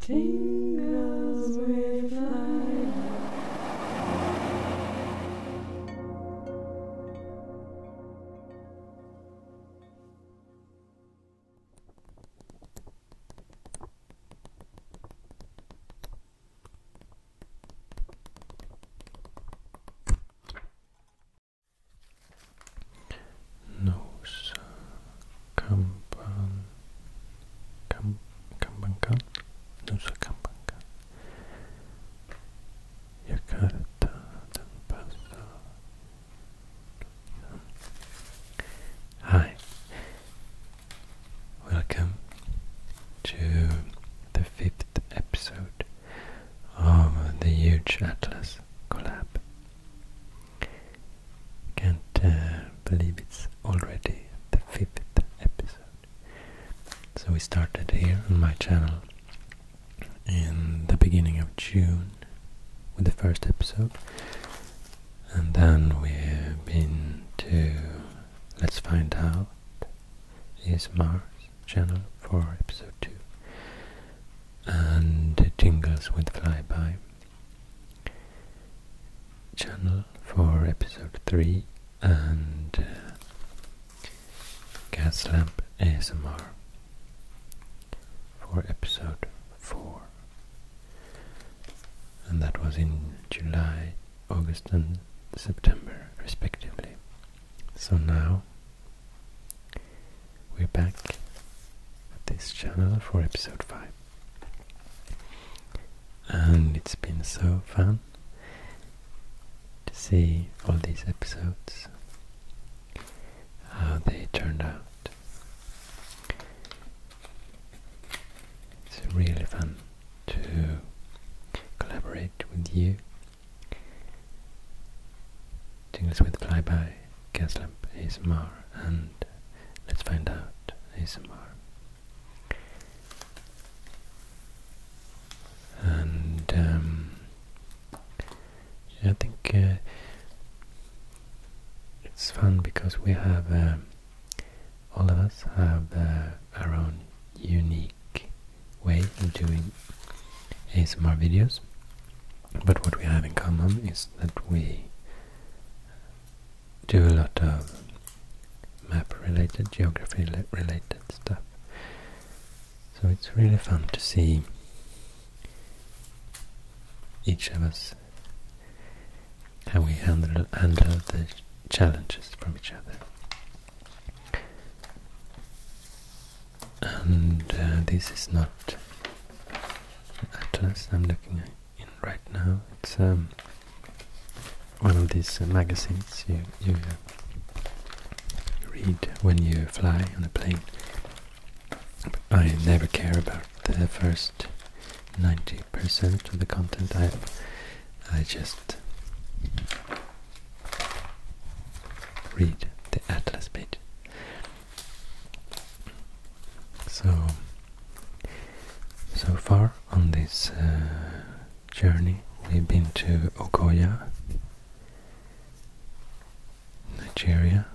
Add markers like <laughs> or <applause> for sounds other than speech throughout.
Tingles with life. Nosa Kampan Kam Kambankan Nusa Kambankan Jakarta dan Pasar Hi Welcome to the fifth episode of the Huge Atlas collab. Can't uh, believe it's already the fifth episode. So we started here on my channel in the beginning of June with the first episode, and then we've been to Let's Find Out is Mars channel for episode 2 and Jingles with Flyby channel for episode 3 and uh, Gas Lamp ASMR for episode 4. And that was in July, August, and September, respectively. So now we're back at this channel for episode 5 and it's been so fun to see all these episodes, how they turned out. It's really fun to collaborate with you. Tingles with Flyby, Gaslamp ASMR and Let's find out ASMR. And um, I think uh, it's fun because we have um, all of us have uh, our own unique way of doing ASMR videos. But what we have in common is that we do a lot of map related, geography related stuff. So it's really fun to see each of us how we handle, the challenges from each other. And uh, this is not atlas I'm looking at right now. It's um, one of these uh, magazines you you uh, read when you fly on a plane. I never care about the first ninety percent of the content. I I just read the atlas page. So so far on this uh, journey, we've been to Okoya, Nigeria.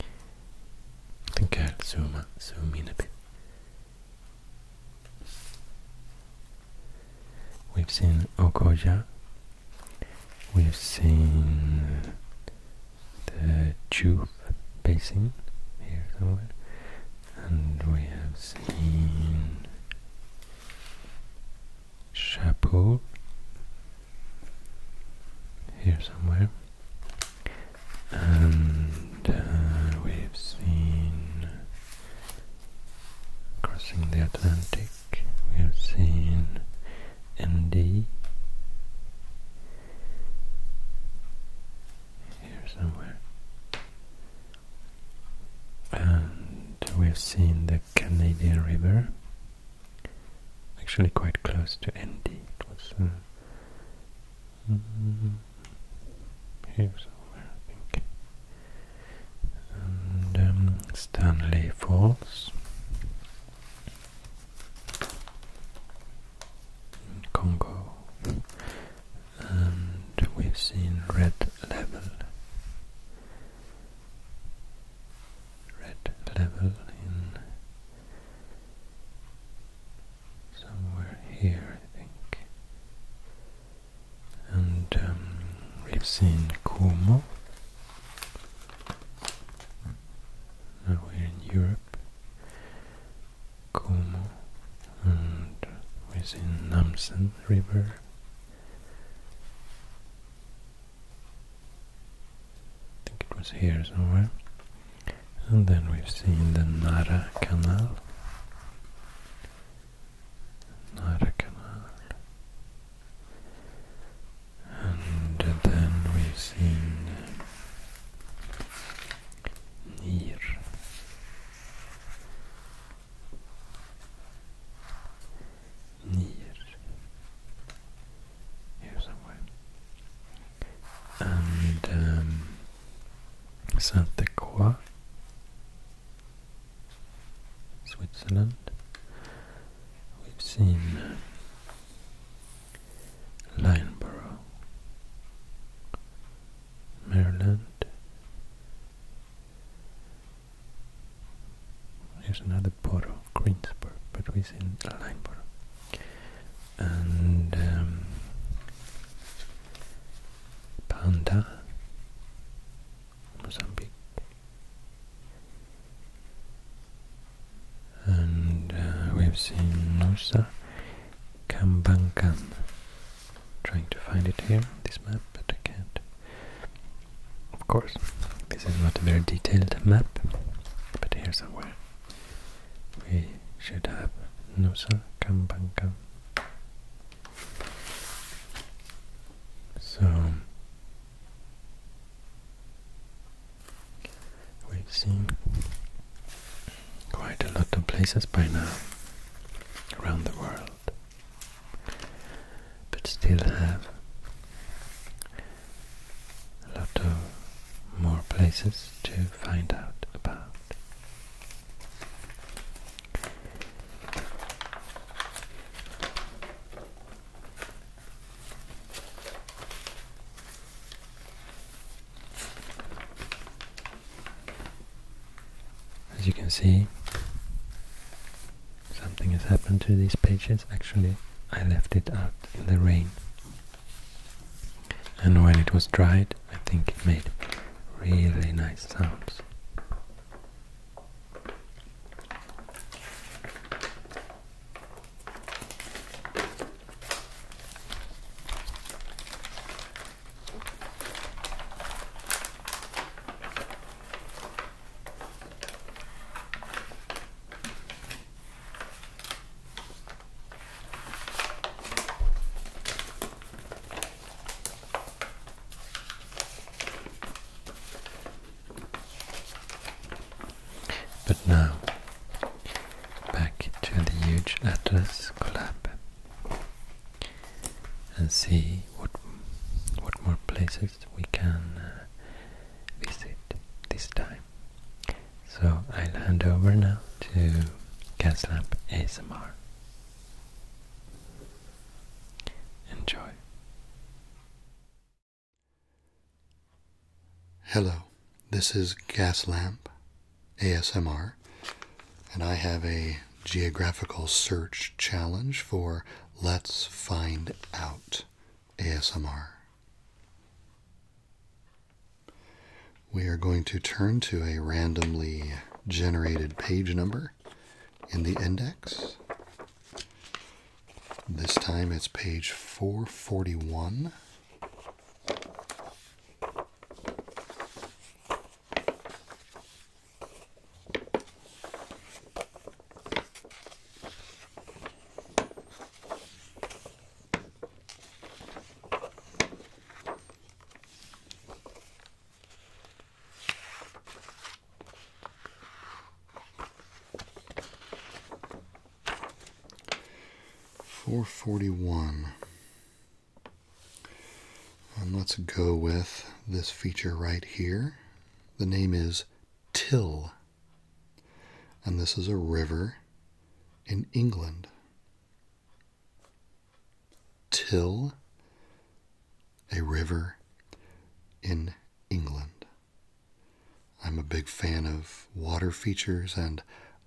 I think zoom, zoom in a bit. We've seen Okoya, we've seen the tube basin here somewhere and we have seen Chapeau here somewhere and uh, we've seen Crossing the Atlantic we have seen MD here somewhere. And we've seen the Canadian River, actually quite close to Endy. It was uh, mm, here somewhere, I think. And um, Stanley Falls. Congo, and we've seen red level, red level in somewhere here, I think, and um, we've seen Como. Now we're in Europe, Como and within Namsen River. I think it was here somewhere. And then we've seen the Nara Canal. Nara Canal. And then we've seen ner ner here somewhere and um, Sainte Croix Switzerland we've seen Lineborough, Maryland. Here's another port of Greensburg, but we have seen Lineborough. And um, Panda, Mozambique. And uh, we've seen Nusa Kambankan. Trying to find it here, this map, but I can't. Of course, this is not a very detailed map, but here somewhere we should have Nusa Kambankan. So We've seen quite a lot of places by now around the world, but still have a lot of more places to find out about. As you can see, something has happened to these pages. Actually, I left it out in the rain. And when it was dried, I think it made really nice sounds. But now back to the huge Atlas collab and see what what more places we can uh, visit this time. So I'll hand over now to Caslab ASMR. Enjoy. Hello. This is Gas Lamp ASMR, and I have a geographical search challenge for Let's Find Out ASMR. We are going to turn to a randomly generated page number in the index. This time it's page 441. 441 and um, let's go with this feature right here. The name is Till. And this is a river in England. Till, a river in England. I'm a big fan of water features and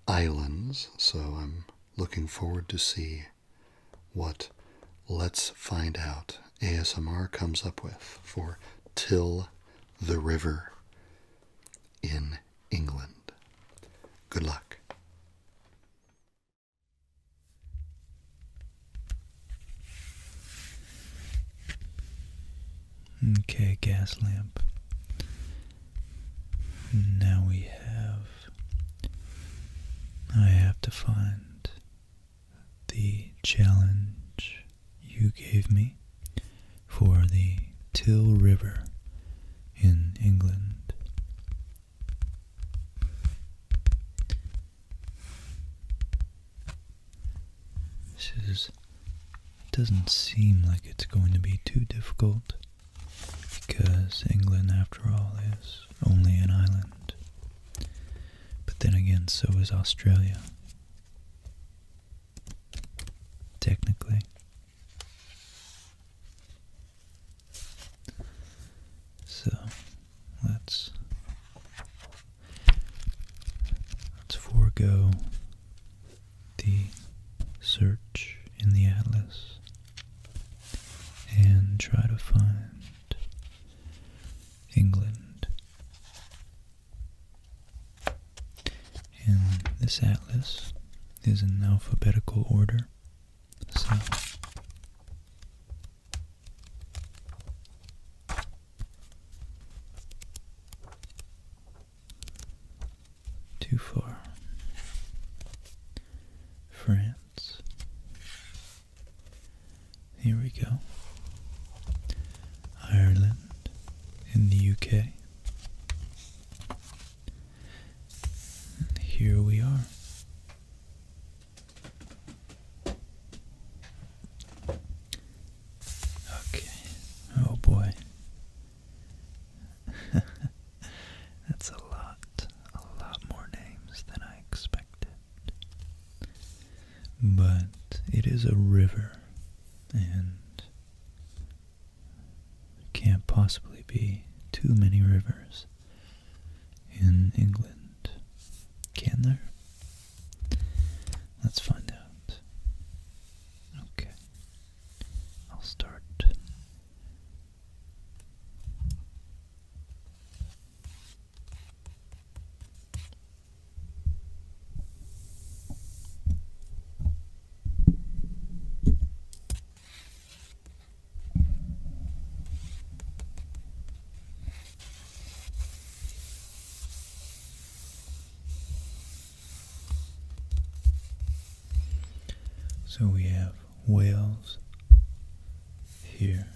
islands, so I'm Looking forward to see what Let's Find Out ASMR comes up with for Till the River in England. Good luck. Okay, gas lamp now we have. I have to find the challenge you gave me for the Till River in England. This doesn't seem like it's going to be too difficult because England, after all, is only an island. But then again, so is Australia. Technically. So let's let's forego the search in the atlas and try to find England. And this atlas is in alphabetical order, so too far. France. Here we go. Ireland in the UK. here we are. Okay. Oh boy. <laughs> That's a lot, a lot more names than I expected. But it is a river and there can't possibly be too many rivers in England, can there? Let's find out. Okay, I'll start so we have Wales here.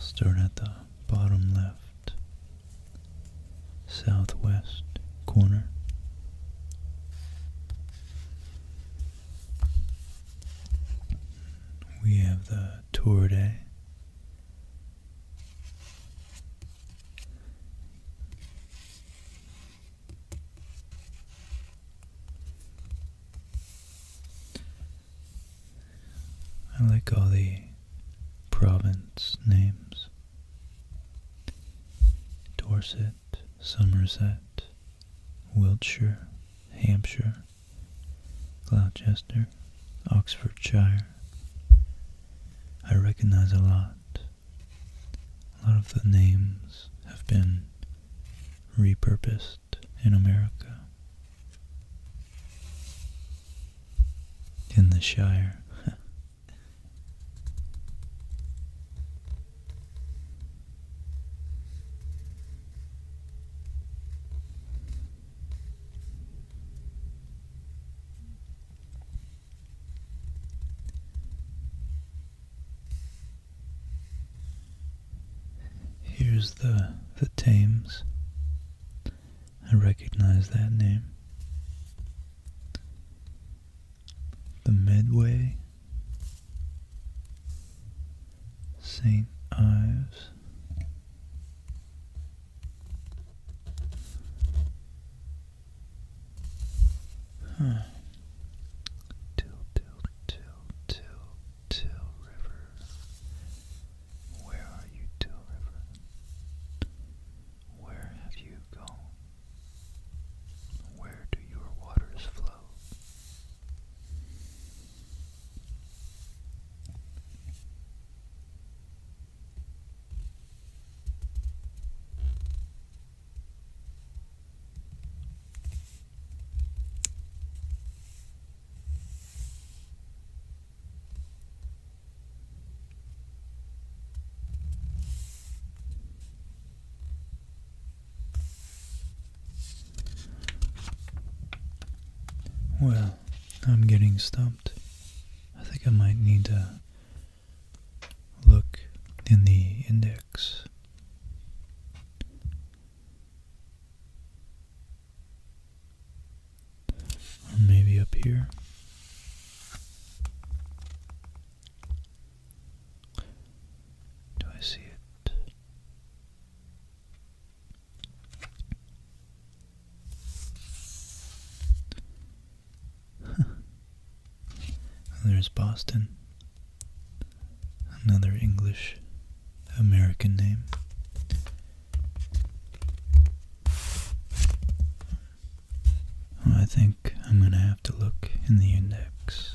start at the bottom left, southwest corner. We have the Tour Tourday. I like all the province names. Dorset, Somerset, Wiltshire, Hampshire, Gloucester, Oxfordshire. I recognize a lot a lot of the names have been repurposed in America. In the Shire. <laughs> Here's the the Thames. I recognize that name. The Medway, St. Ives, Huh. Till, till, till, till, till river. Where are you, till river? Where have you gone? Where do your waters flow? Well, I'm getting stumped. I think I might need to look in the index. Or maybe up here. Do I see it? There's Boston. Another English American name. I think I'm going to have to look in the index.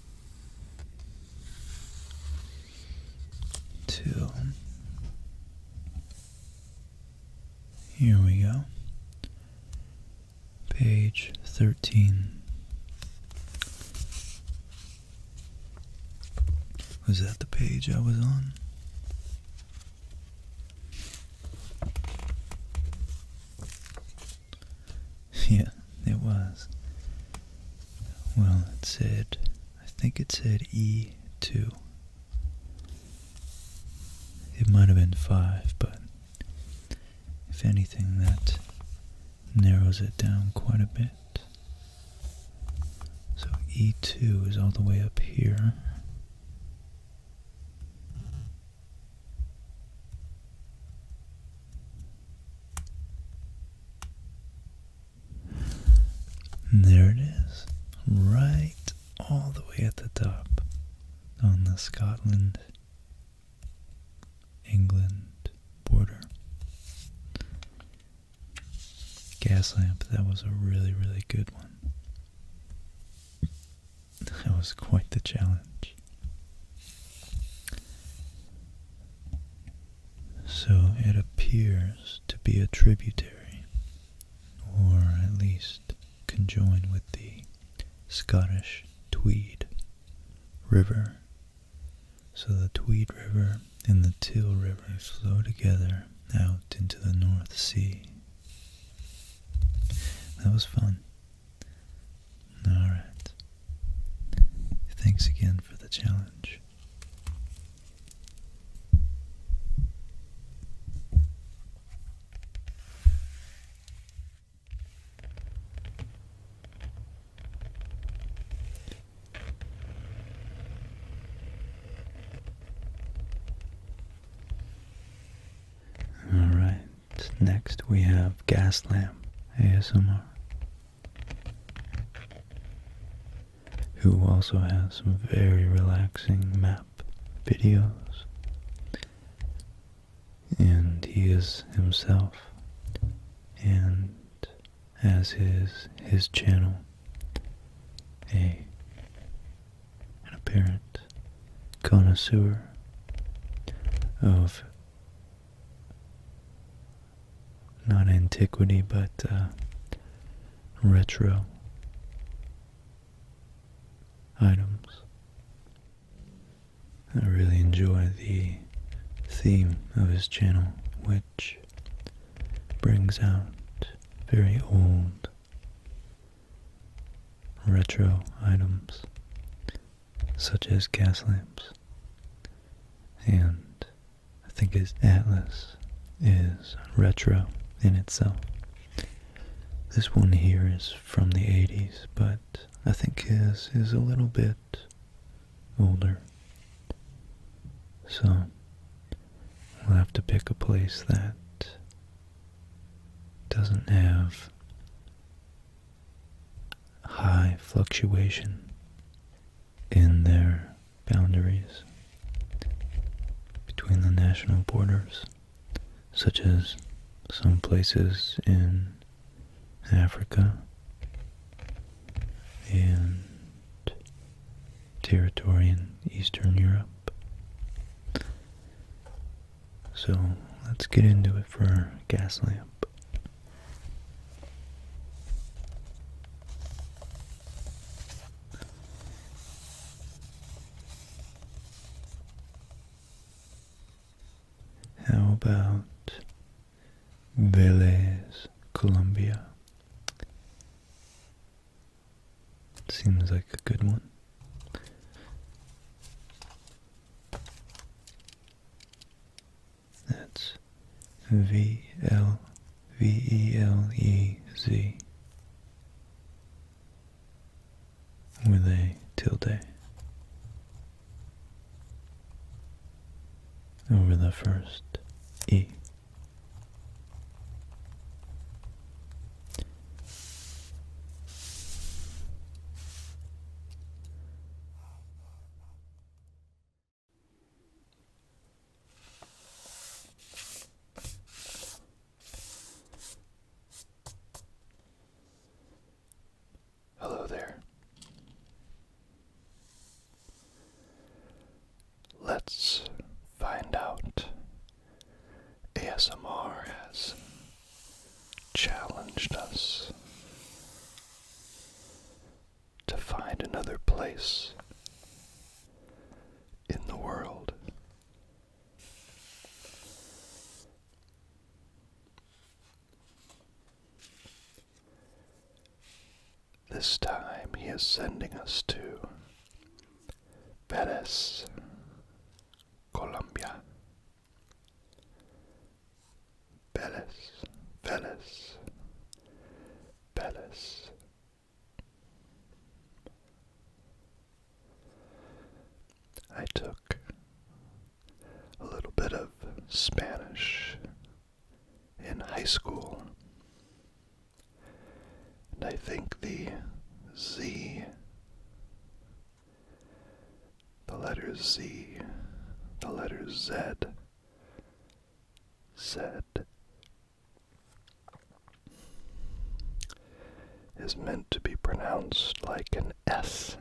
Two. Here we go. Page 13. Was that the page I was on? <laughs> Yeah, it was. Well, it said I think it said E2. It might have been 5, but if anything, that narrows it down quite a bit. So E2 is all the way up here there it is, right all the way at the top on the Scotland England border. Gas lamp, that was a really, really good one. That was quite the challenge. So it appears to be a tributary, or at least conjoined with the Scottish Tweed River. So the Tweed River and the Till River flow together out into the North Sea. That was fun. Alright. Thanks again for the challenge. All right, next we have gas lamp ASMR who also has some very relaxing map videos. And he is himself and as is his channel a an apparent connoisseur of not antiquity but uh, retro items. I really enjoy the theme of his channel, which brings out very old retro items such as gas lamps and I think his atlas is retro in itself. This one here is from the 80s, but I think his is a little bit older. So, we'll have to pick a place that doesn't have high fluctuation in there boundaries between the national borders, such as some places in Africa and territory in Eastern Europe. So let's get into it for gas lamp. How about Vélez, Colombia? Seems like a good one. That's V L V E L E Z with a tilde over the first E. Hello there. Let's find out. ASMR has challenged us to find another place in the world. This time he is sending us to Perez, Colombia. Perez, Perez, Perez, I took a little bit of Spanish in high school, and I think the Z, the letters Z, the letters Z, Z is meant to be pronounced like an S.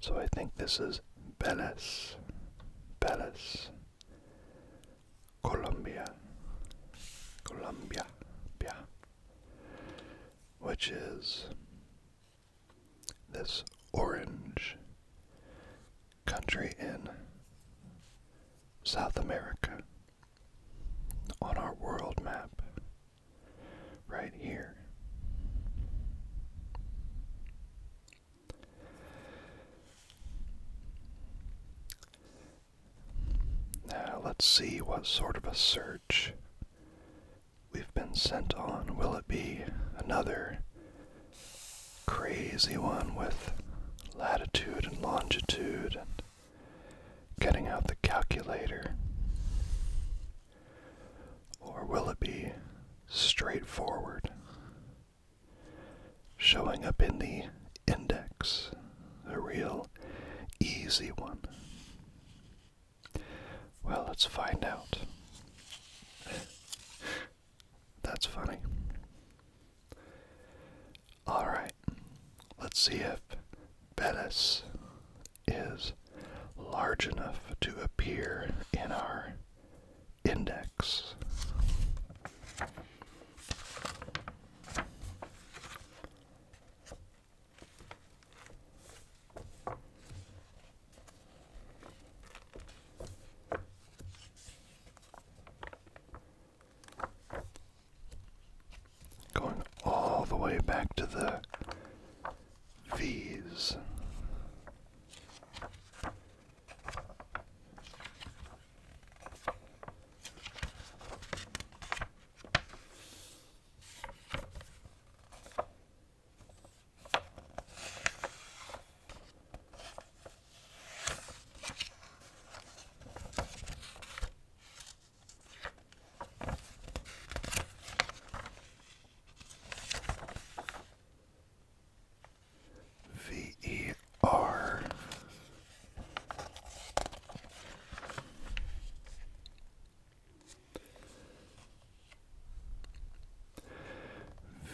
So I think this is Belles, Belles, Colombia, Colombia, which is this orange country in South America on our world map right here. Now let's see what sort of a search we've been sent on. Will it be another crazy one with latitude and longitude and getting out the calculator? Or will it be straightforward, showing up in the index, a real easy one? Well, let's find out. <laughs> That's funny. Alright, let's see if Bettis is large enough to appear in our index. Going all the way back to the V's.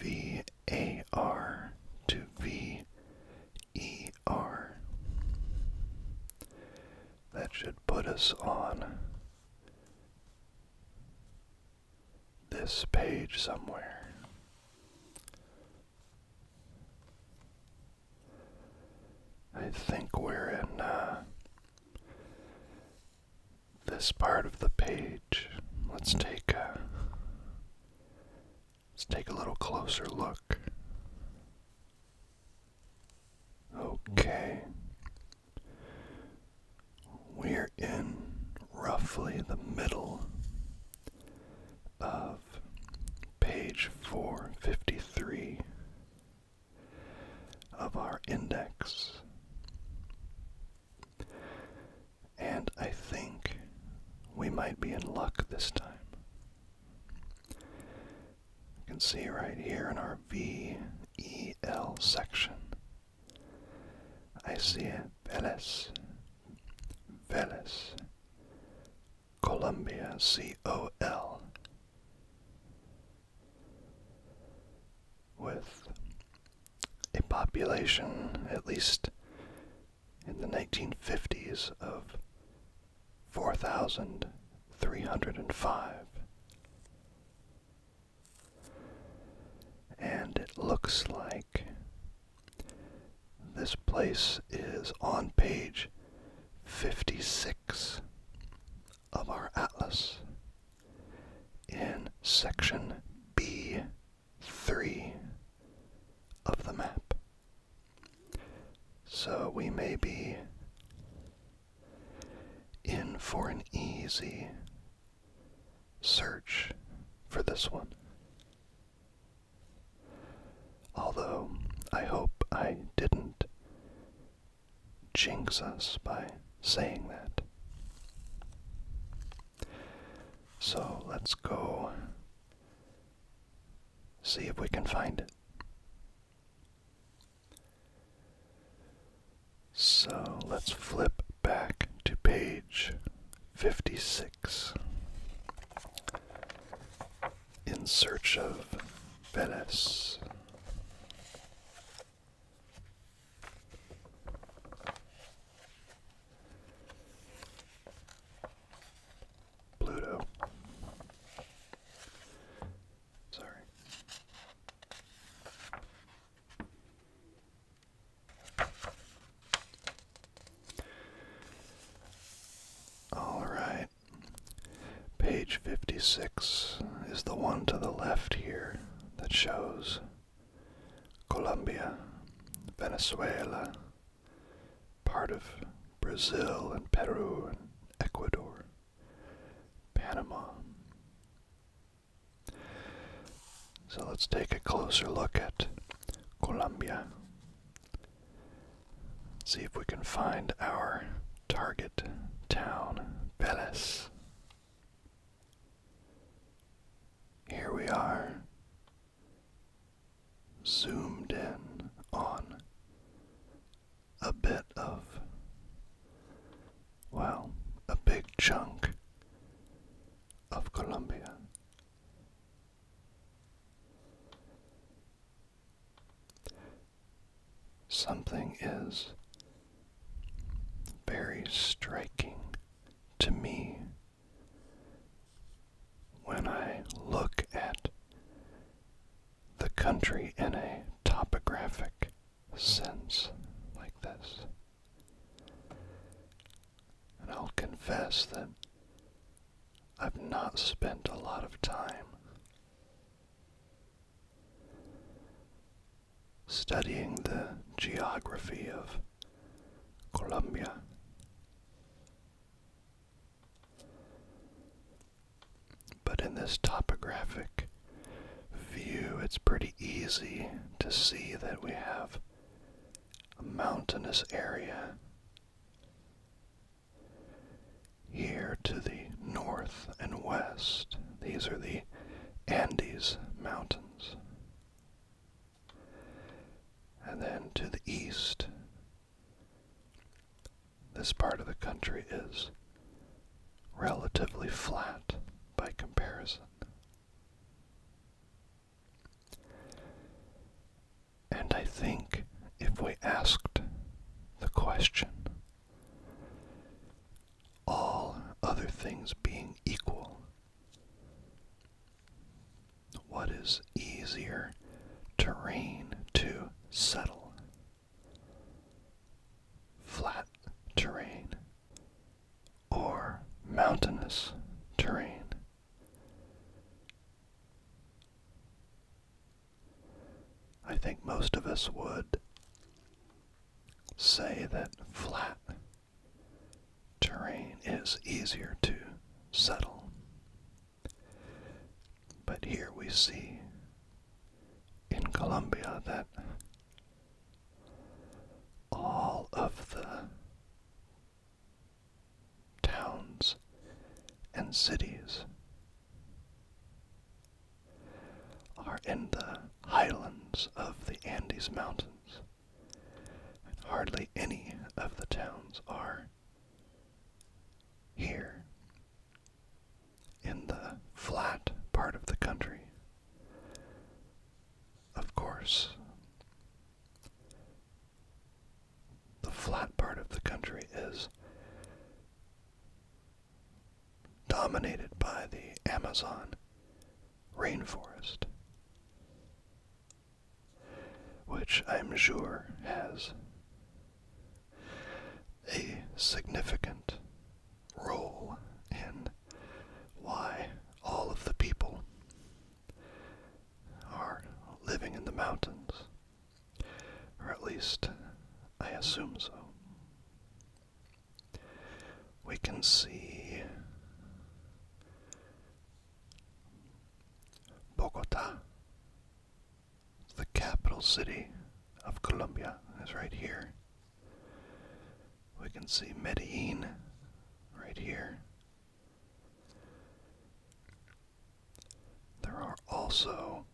VER a R to VER. That should put us on this page somewhere. I think we're in uh, this part of the page. Let's take a Let's take a little closer look. Okay. We're in roughly the middle of page 453 of our index. And I think we might be in luck this time. You can see right here in our VEL section. I see Vélez, Vélez, Colombia, C-O-L, with a population, at least in the 1950s, of 4,305. And it looks like this place is on page 56 of our atlas in section B three of the map. So we may be in for an easy search for this one. Although I hope I didn't jinx us by saying that. So let's go see if we can find it. So let's flip back to page 56 in search of Venice. Pluto. Sorry. All right. Page 56 is the one to the left here that shows Colombia, Venezuela, part of Brazil and Peru and Ecuador, Panama. So let's take a closer look at Colombia. See if we can find our target town, Vélez. Here we are zoomed in on a bit of, well, a big chunk of Colombia. Something is very striking to me when I look at the country in a topographic sense like this. And I'll confess that I've not spent a lot of time studying the geography of Colombia. But in this topographic view, it's pretty easy to see that we have a mountainous area here to the north and west. These are the Andes Mountains. And then to the east, this part of the country is relatively flat by comparison. And I think if we asked the question, all other things being equal, what is easier terrain to settle? Flat terrain or mountainous terrain? I think most of us would say that flat terrain is easier to settle. But here we see in Colombia that all of the towns and cities are in the highlands of the Andes Mountains hardly any of the towns are here in the flat part of the country. Of course, the flat part of the country is dominated by the Amazon rainforest which I'm sure has a significant role in why all of the people are living in the mountains, or at least I assume so. We can see Bogota, the capital city of Colombia, is right here. We can see Medellin right here. There are also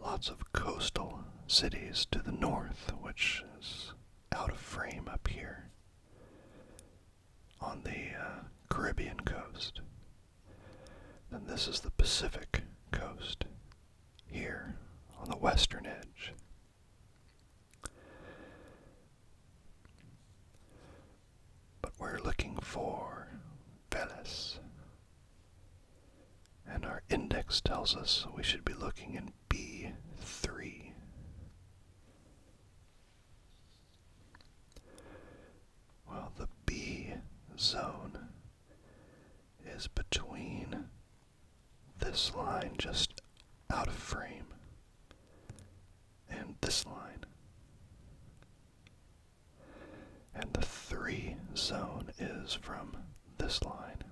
lots of coastal cities to the north, which is out of frame up here on the uh, Caribbean coast. Then this is the Pacific coast, here on the western edge. But we're looking for Veles. And our index tells us we should be looking in B3. Well, the B zone is between this line just out of frame and this line. And the 3 zone is from this line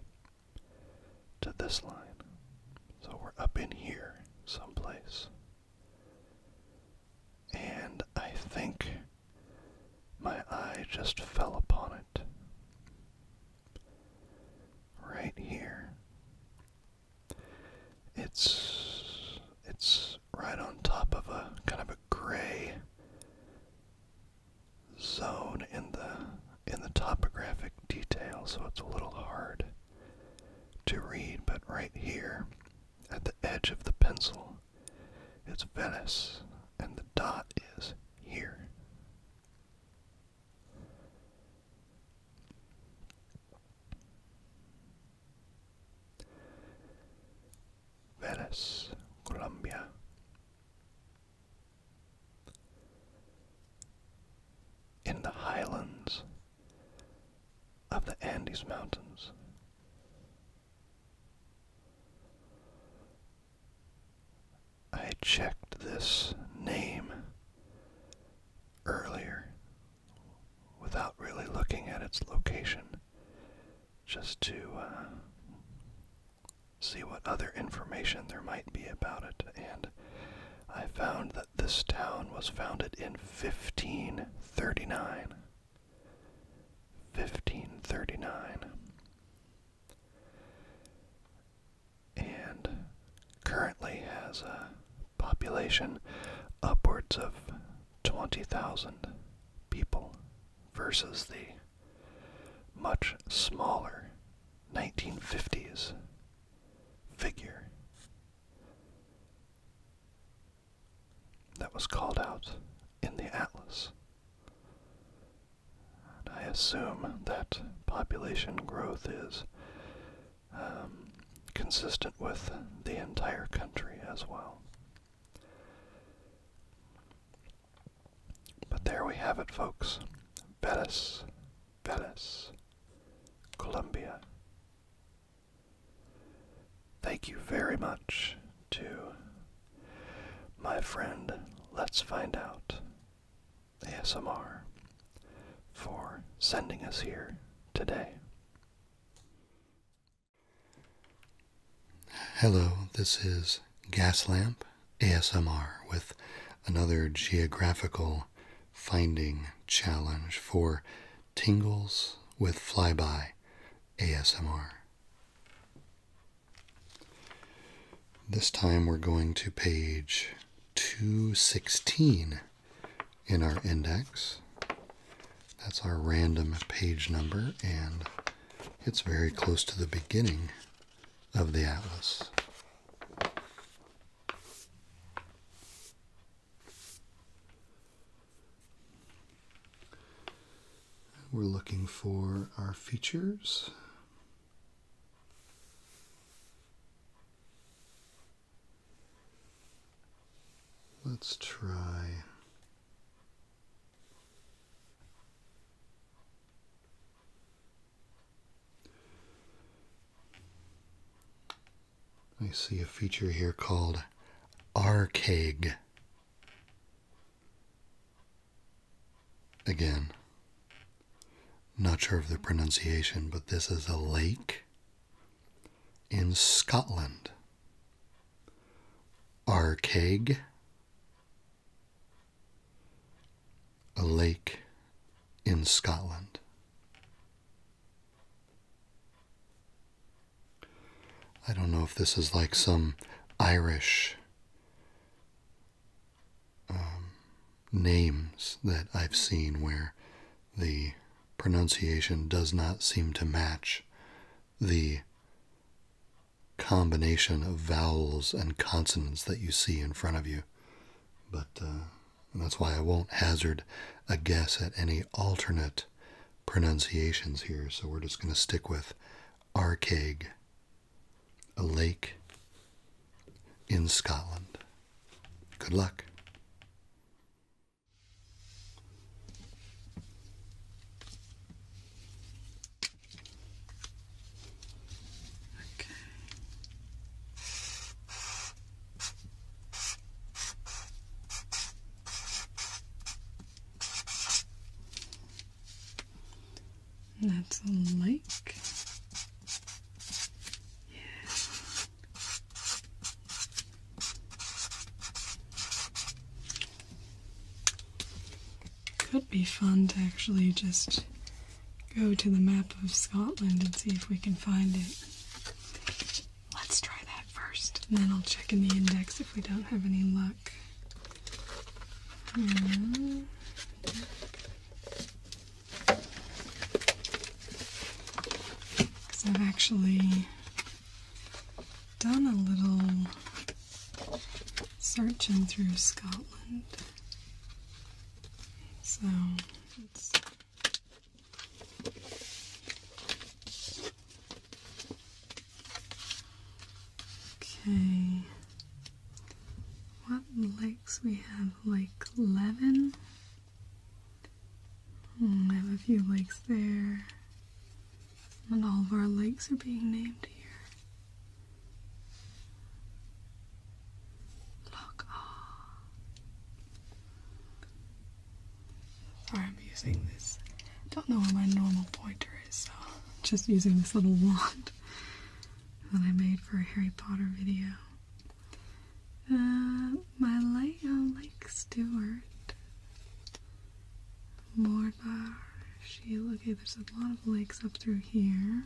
to this line. So we're up in here someplace. And I think my eye just fell upon it. Right here. It's it's right on top of a kind of a gray zone in the in the topographic detail, so it's a little hard to read, but right here at the edge of the pencil, it's Venice, and the dot is here. Venice, Colombia. In the highlands of the Andes Mountains. I checked this name earlier without really looking at its location, just to uh, see what other information there might be about it, and I found that this town was founded in 1539. 1539. And currently has a population upwards of 20,000 people versus the much smaller 1950s figure that was called out in the atlas. And I assume that population growth is um, consistent with the entire country as well. But there we have it, folks. Venice, Venice, Colombia, Thank you very much to my friend Let's Find Out ASMR for sending us here today. Hello, this is Gaslamp ASMR with another geographical finding challenge for Tingles with Flyby ASMR. This time we're going to page 216 in our index. That's our random page number, and it's very close to the beginning of the atlas. We're looking for our features. Let's try I see a feature here called Arcag. Again, not sure of the pronunciation, but this is a lake in Scotland. Arcag, a lake in Scotland. I don't know if this is like some Irish um, names that I've seen where the pronunciation does not seem to match the combination of vowels and consonants that you see in front of you. But uh, that's why I won't hazard a guess at any alternate pronunciations here. So we're just going to stick with Arcaig, a lake in Scotland. Good luck. Okay that's a lake. Yeah. Could be fun to actually just go to the map of Scotland and see if we can find it. Let's try that first. And then I'll check in the index if we don't have any luck. Because I've actually done a little searching through Scotland. So Okay. What lakes we have? Lake Eleven. Mm, I have a few lakes there. And all of our lakes are being named here. Look, ah. Sorry, I'm using this. Don't know where my normal pointer is, so I'm <laughs> just using this little wand that I made for a Harry Potter video. Uh, my light on uh, Lake Stewart, Mordor, Sheila. Okay, there's a lot of lakes up through here.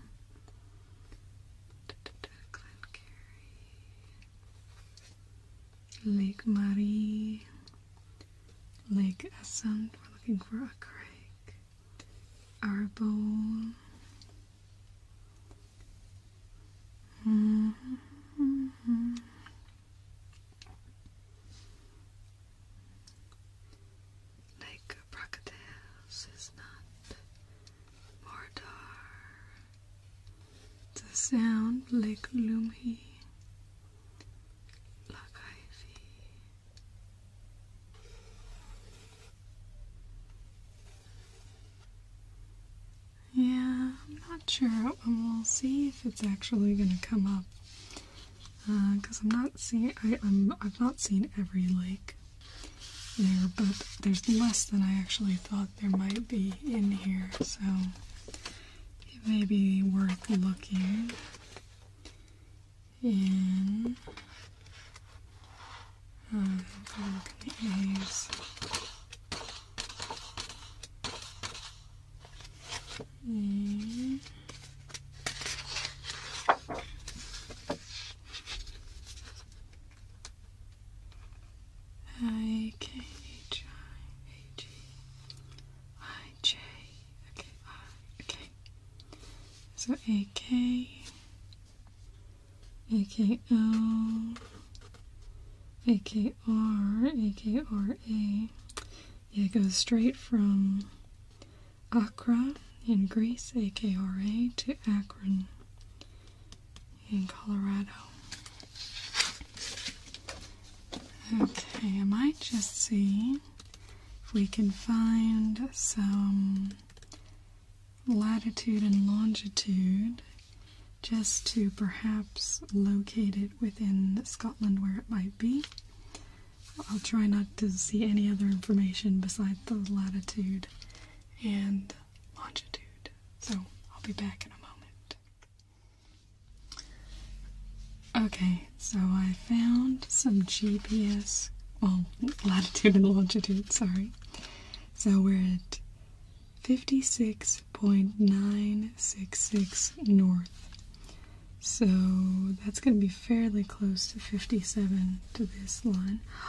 Lake Marie, Lake Essend. We're looking for a creek. Arbol. Mm-hmm. Lake Brocadales is not Mordor the sound like Lumhi Lakaifi. Yeah, I'm not sure. We'll see if it's actually going to come up. Because uh, I'm not seeing, I'm, I've not seen every lake there, but there's less than I actually thought there might be in here, so it may be worth looking in um, I K H I A G I J. Okay, So A K A K O A K R A K R A. it goes straight from Accra in Greece, A K R A, to Akron in Colorado. Okay, I might just see if we can find some latitude and longitude just to perhaps locate it within Scotland where it might be. I'll try not to see any other information besides the latitude and longitude. So I'll be back in a moment. Okay, so I found some GPS, well, <laughs> latitude and longitude, sorry. So we're at 56.966 north. So that's going to be fairly close to 57 to this line. <gasps>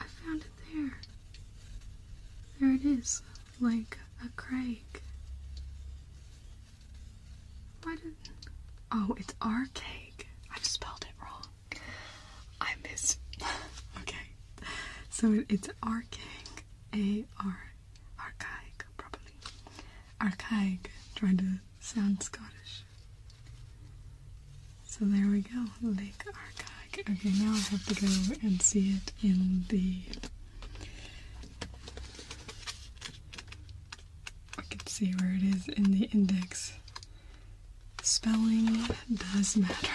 I found it there. There it is like a Craig. Why Oh, it's our cake. I spelled it wrong. I missed. <laughs> okay, so it's archaic, a r, archaic probably. Archaic, trying to sound Scottish. So there we go, Lake Archaic. Okay, now I have to go and see it in the I can see where it is in the index. Spelling does matter.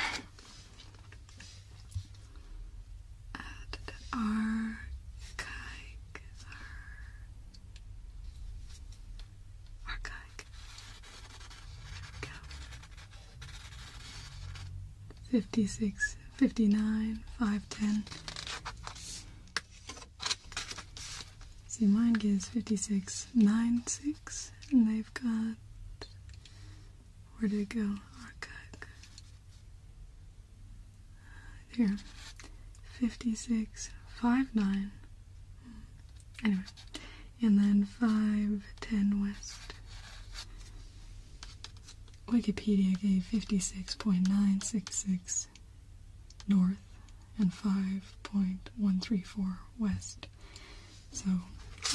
Archaic. Archaic. 56, 59, 510. See, mine gives 56, 9, and they've got. Where did it go? Archive. Here. 56, 5, Anyway. And then five ten west. Wikipedia gave 56.966 north and 5.134 west. So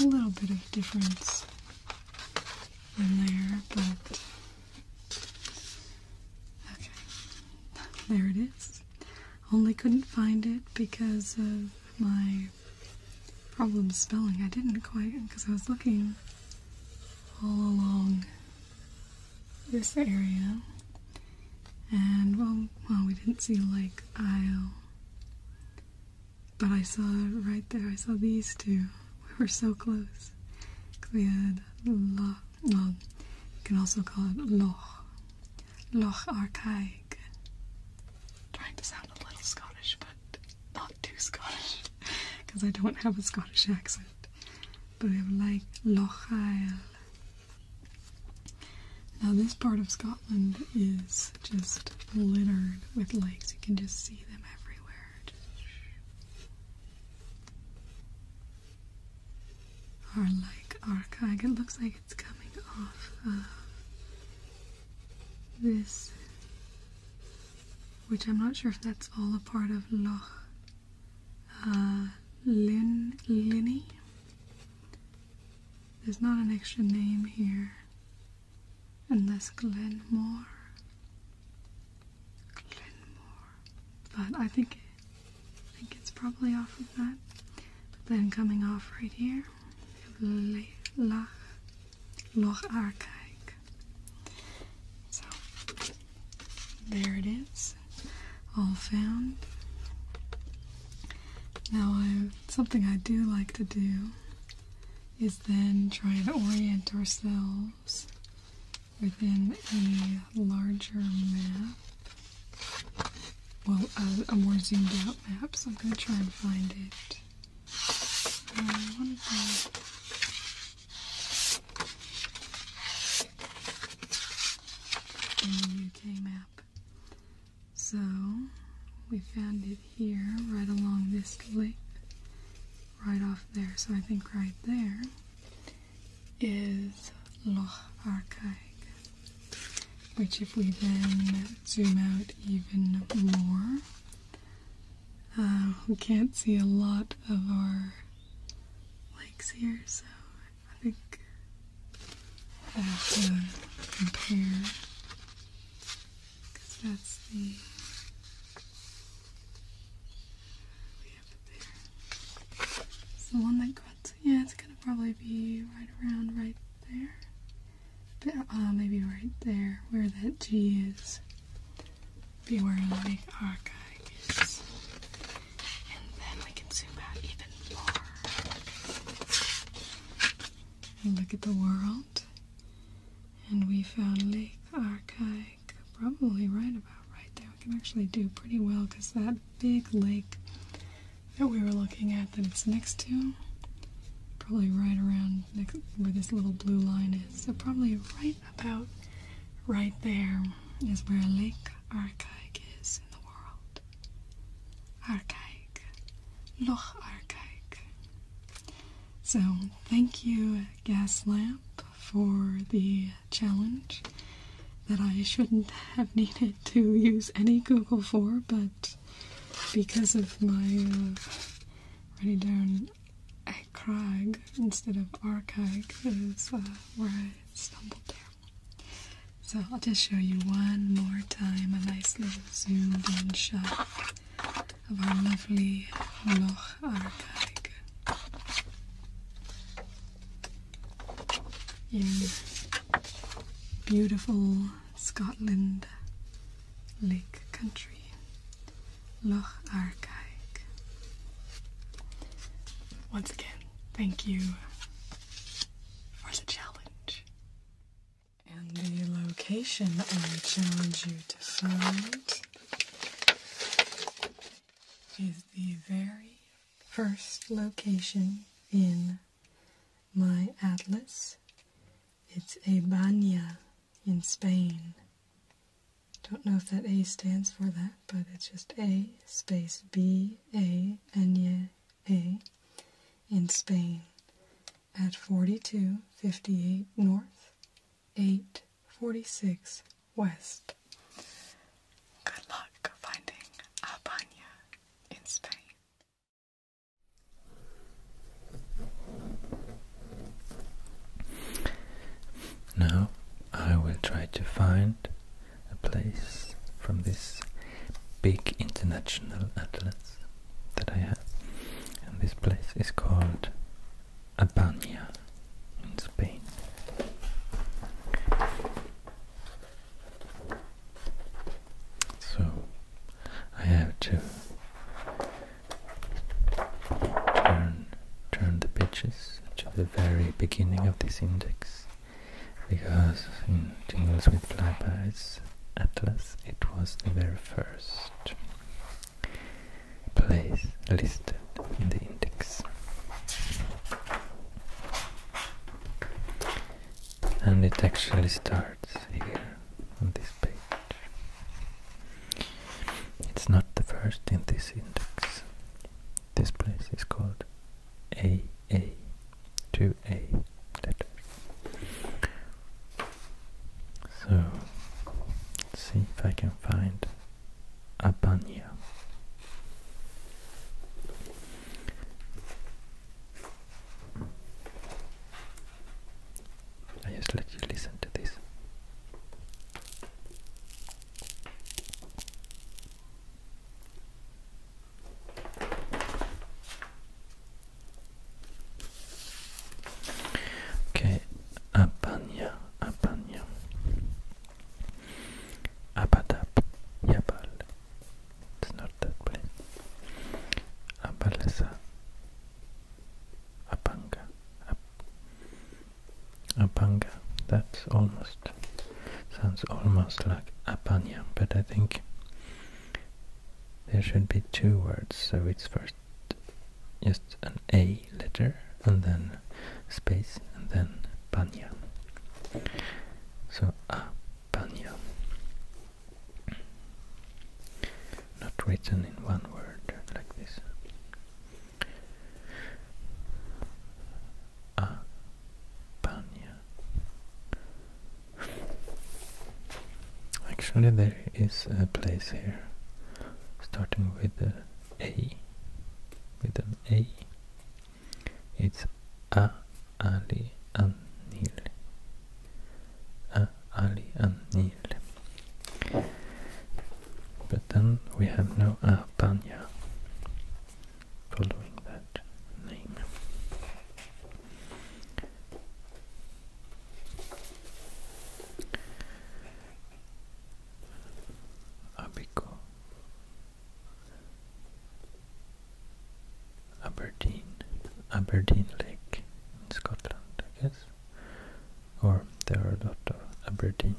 a little bit of difference in there, but okay, there it is. Only couldn't find it because of my problem spelling. I didn't quite, because I was looking all along this area. And well, well, we didn't see Lake Isle, but I saw right there. I saw these two. We were so close. Cause Loch. you can also call it Loch. Loch Archaic. trying to sound a little Scottish, but not too Scottish because I don't have a Scottish accent. But I'm like Loch Isle. Now this part of Scotland is just littered with lakes. You can just see them everywhere. Or like Arcag. It looks like it's coming off of this which I'm not sure if that's all a part of Loch uh, Lin Linny. There's not an extra name here, unless Glenmore. Glenmore, but I think think it's probably off of that. then coming off right here, we Loch Arkaik. So there it is, all found. Now, um, something I do like to do is then try and orient ourselves within a larger map. Well, a more zoomed out map, so I'm going to try and find it the UK map. So we found it here, right along this lake, right off there. So I think right there is Loch Arkaig, which if we then zoom out even more, uh, we can't see a lot of our lakes here, so I think I have to compare because that's the one that got yeah, it's gonna probably be right around right there. Uh, maybe right there where that G is. We're in Lake archives. And then we can zoom out even more. And look at the world. And we found Lake Archaic probably right about right there. We can actually do pretty well because that big lake that we were looking at that it's next to probably right around where this little blue line is. So probably right about right there is where Lake Archaic is in the world. Archaic. Loch Archaic. So, thank you, Gaslamp, for the challenge that I shouldn't have <laughs> needed to use any Google for, but because of my uh, down Craig instead of Archag is uh, where I stumbled there. So I'll just show you one more time a nice little zoomed in shot of our lovely Loch Archag in beautiful Scotland. Lake Country, Loch Arkaig. Once again, thank you for the challenge. And the location I challenge you to find is the very first location in my atlas. It's a banya in Spain. Don't know if that A stands for that, but it's just A space B A N Y A in Spain at 4258 North, 846 West. Good luck finding Abana in Spain. Now I will try to find a place from this big international atlas that I have. And this place is called Abania in Spain. So I have to turn, turn the pages to the very beginning of this index because in Jingles with Flyby's Atlas it was the very first place listed in the index. And it actually starts here on this page. It's not the first in this index. This place is called AA, two A So, let's see if I can find a Abania. I just let you listen to this. Okay, apanya apanya apadap, yapal. It's not that plain. Apalesa, apanga, ap. Apanga. That's almost sounds almost like apanya, but I think there should be two words. So it's first just an A letter and then space and then panya. So apanya. Not written in one word like this. Actually, there is a place here starting with the A, with an A. It's A Ali Anil. A Ali Anil. But then we have no Apanya following that name. Abico Aberdeen Aberdeen Lake in Scotland, I guess or there are a lot of Aberdeen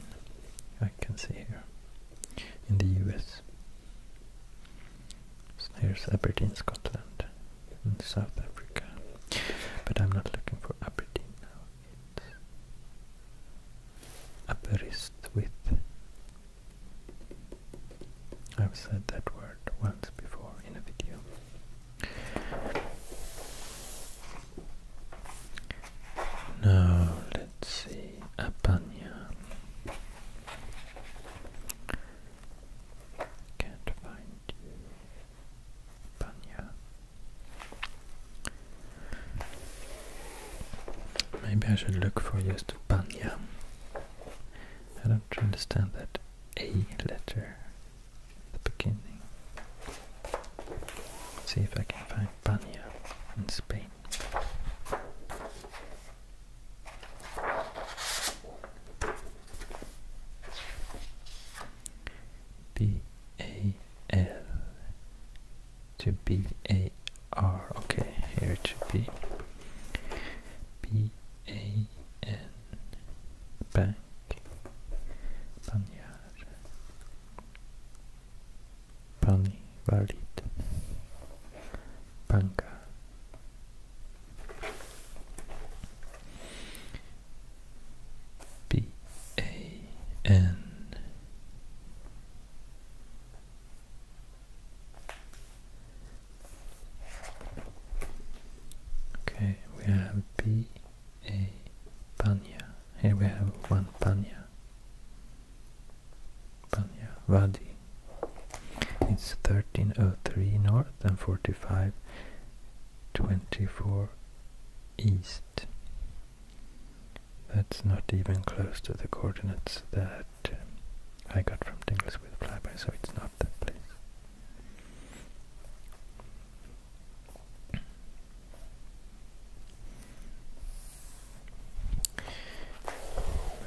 I can see here in the US. There's here's Aberdeen, Scotland, in South Africa. But I'm not looking for Aberdeen now. It's with. I've said that word once before in a video. Now let's see Apanya. Can't find Apanya. Maybe I should look for just Panya. I don't understand that A letter the beginning. See if I can find Banya in Spain. B A L to B A R. Okay, here it should be B A N Bank Banyar Pani, valid. Banka. B A N Okay, we have B a panya. Here we have one Pania. Panya Wadi. It's 1303 north and 4524 east. That's not even close to the coordinates that uh, I got from Tingles with Flyby, so it's not that place.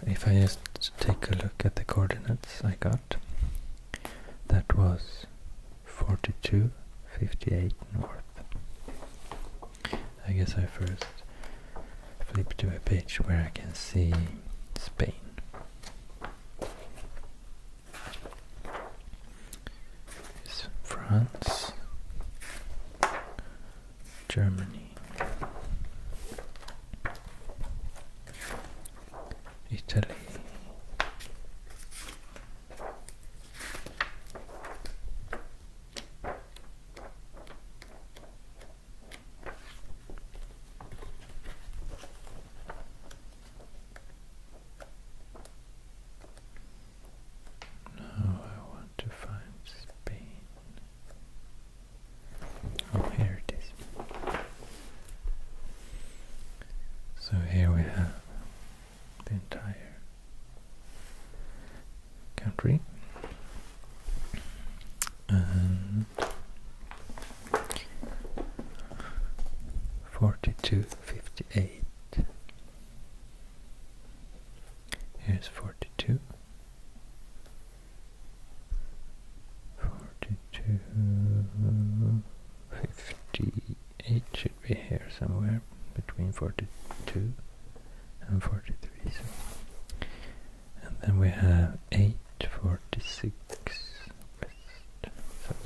If I just take a look at the coordinates I got, that was forty-two fifty-eight north. I guess I first flip to a page where I can see Spain. France, Germany, Italy, now I want to find Spain. Oh, here it is. So here we have the entire country. And forty two fifty eight Here's 42. 42, 58 should be here somewhere, between 42 and 43. And then we have 846 So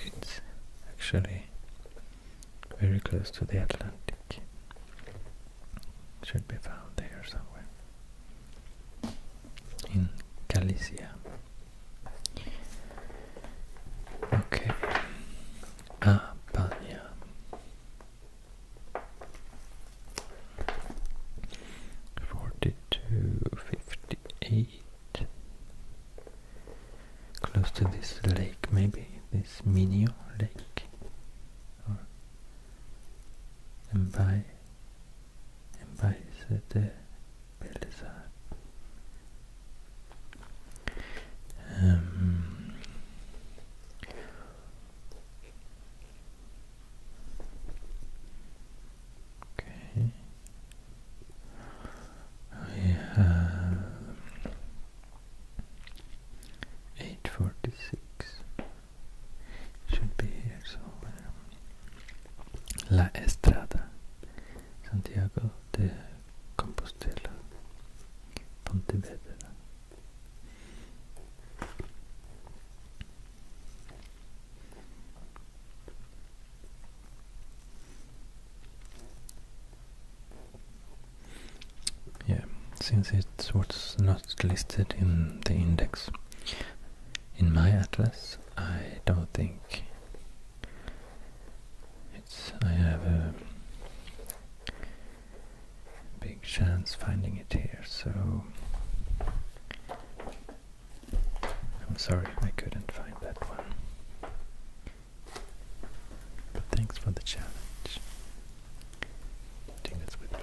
it's actually very close to the Atlantic. Should be found there somewhere. In Galicia. Okay. Apania. Forty-two fifty-eight close to this lake maybe, this Minio lake or and by Sete Beleza um, Okay. We have 8.46 should be here somewhere La Estrada Santiago de Compostela Pontevedra Yeah, since it's what's not listed in the index in my atlas, I don't think it's I have a big chance finding it here, so I'm sorry I couldn't find that one. But thanks for the challenge. Do this with bye